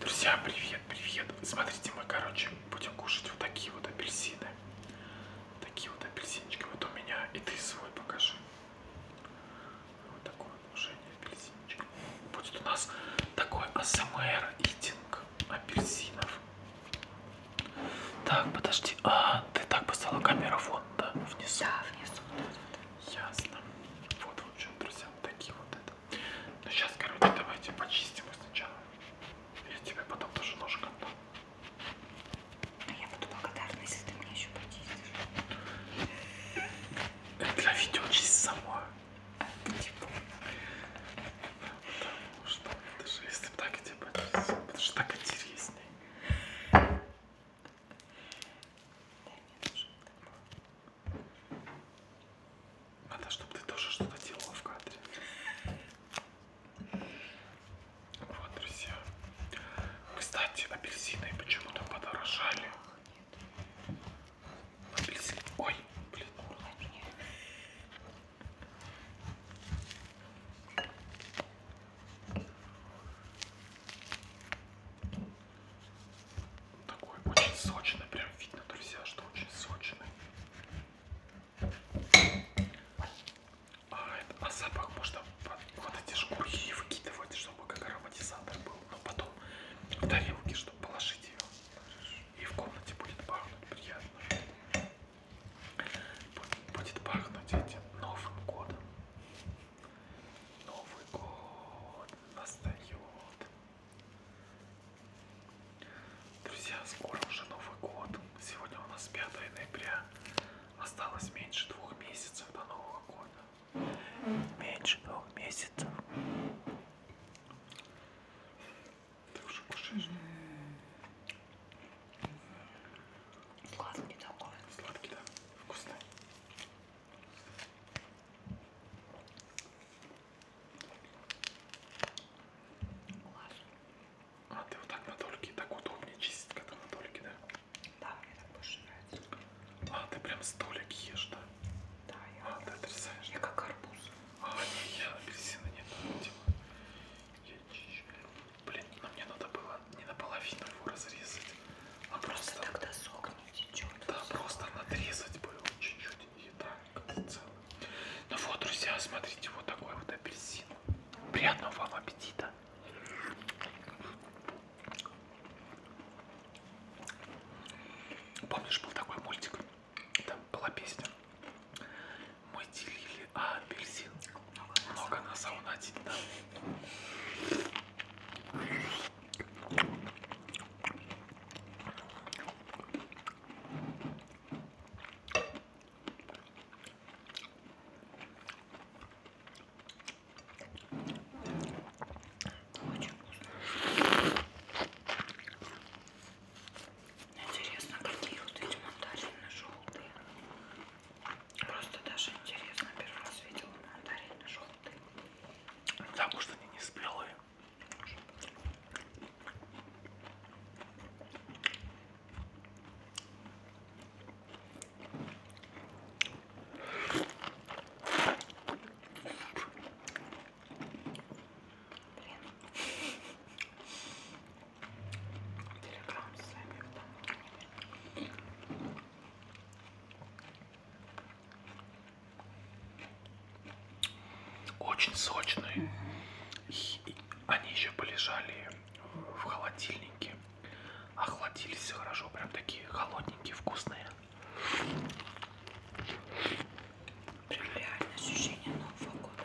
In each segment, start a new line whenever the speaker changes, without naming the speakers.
Друзья, привет, привет. Смотрите, мы, короче, будем кушать вот такие вот апельсины. Такие вот апельсинчики. Вот у меня и ты свой покажи. Вот такое отношение апельсинчик. Будет у нас такой АСМР итинг апельсинов. Так, подожди. А, ты так поставила камеру вон, да? Внизу. Да, внизу. Ясно. Вот, в общем, друзья, вот такие вот это. Ну сейчас, короче, давайте почистим их сначала. Я тебе потом тоже ножик отдам. Но а я буду благодарна, если ты меня еще почистишь. Это для видео чисть сама. Типа. Потому что, даже если так, я тебе почистил, потому что так интереснее. Да, мне тоже Надо, чтобы ты тоже что-то делала в кадре. Вот, друзья. Кстати, апельсины почему-то подорожали. Апельсин. Ой, блин. Такой очень сочный, прям видно, друзья, что очень сочный. А, это, а запах можно вот эти шкурки выкидывать, чтобы как ароматизатор был, но потом в тарелке, чтобы положить ее. И в комнате будет пахнуть приятно. Будет пахнуть этим Новым годом. Новый год настает. Друзья, скоро уже Новый год. Сегодня у нас 5 ноября. Осталось меньше двух месяцев до Нового года. Меньше двух месяцев. Ты уже кушаешь? Сладкий такой. Сладкий, да. Вкусный. Класс. А ты вот так на дольке, так удобнее чистить, когда на дольке, да? Да, мне так больше нравится. А, ты прям столик ешь, да? Да, я. А, ты отрезаешь? Я как арбуз. А, не, я апельсина нет, не Я чищу. Блин, но ну мне надо было не наполовину его разрезать, а просто... Просто тогда сок не течет. Да, просто надрезать было чуть-чуть и так целый. Ну вот, друзья, смотрите, вот такой вот апельсин. Приятного вам аппетита. Помнишь, был такой мультик? Там была песня. Мы делили апельсин. Много на саунате. Да. Интересно, какие вот эти мандарины-желтые. Просто даже интересно, первый раз видела мандарины-желтые. Да, может они не спелые. Блин. Телеграм с вами в том. Очень сочные. Угу. И, и они еще полежали в холодильнике. А охладились хорошо, прям такие холодненькие, вкусные. Прям реально ощущение Нового года.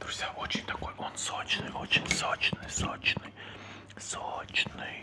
Друзья, очень такой, он сочный, очень сочный, сочный, сочный.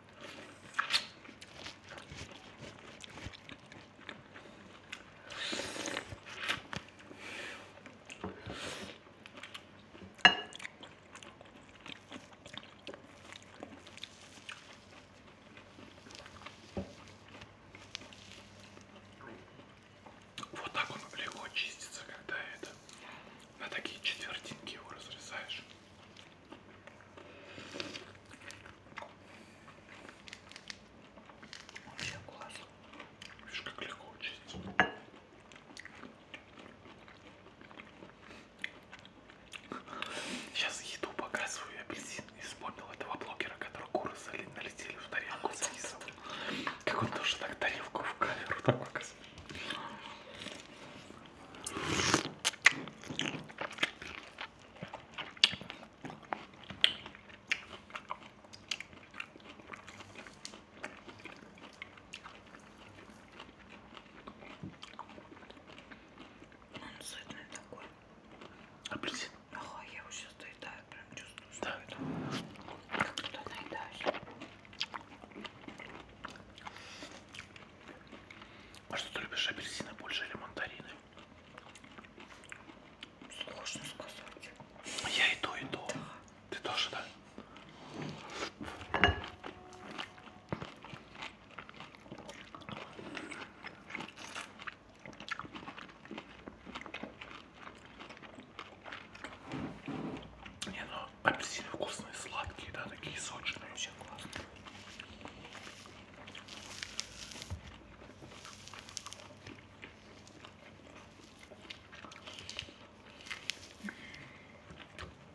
Вот так он легко чистится, когда это на такие четвертинки его разрезаешь. Вообще класс. Видишь, как легко учиться. Сейчас еду показываю апельсин и вспомнил этого блогера, который куры налетели в тарелку с рисом. Как он тоже так тарелку в камеру так показывает. Он сытный такой. Апельсин. Ага, я его сейчас доедаю, прям чувствую, что да. это как будто наедаюсь. А что ты любишь, апельсины больше или мандарины? Сложно сказать. Я и то, и то. Да. Ты тоже, да? Не, ну Апельсины вкусные, сладкие, да, такие сочные, вообще классно.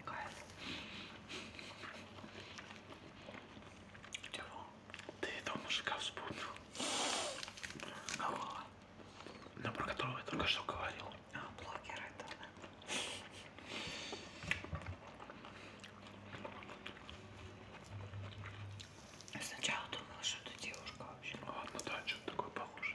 Кайф. Диво, ты этого мужика вспомнил? Голова. Но про которого я только что говорил. А, блогер это, да. Я сначала думала, что это девушка вообще. А, ну да, что-то такое похоже.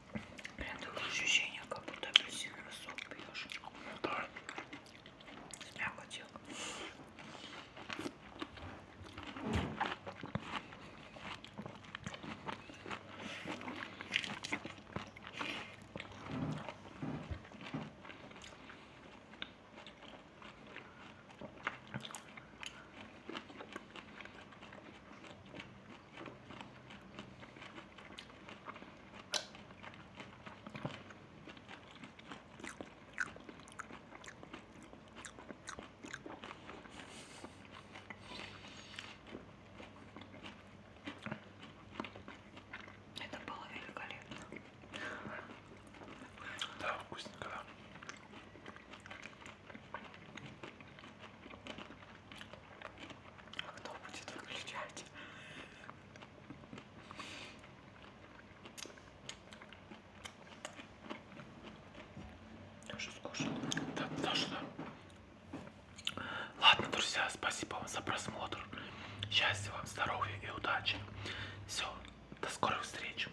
Прям такое ощущение, как будто апельсиновый сок пьешь. Ну да. Я хотела. Это было великолепно. Да, вкусненько, да. А кто будет выключать? Я уже скушал. Да, даже да. Ладно, друзья, спасибо вам за просмотр. Счастья вам, здоровья и удачи. Все, до скорых встреч.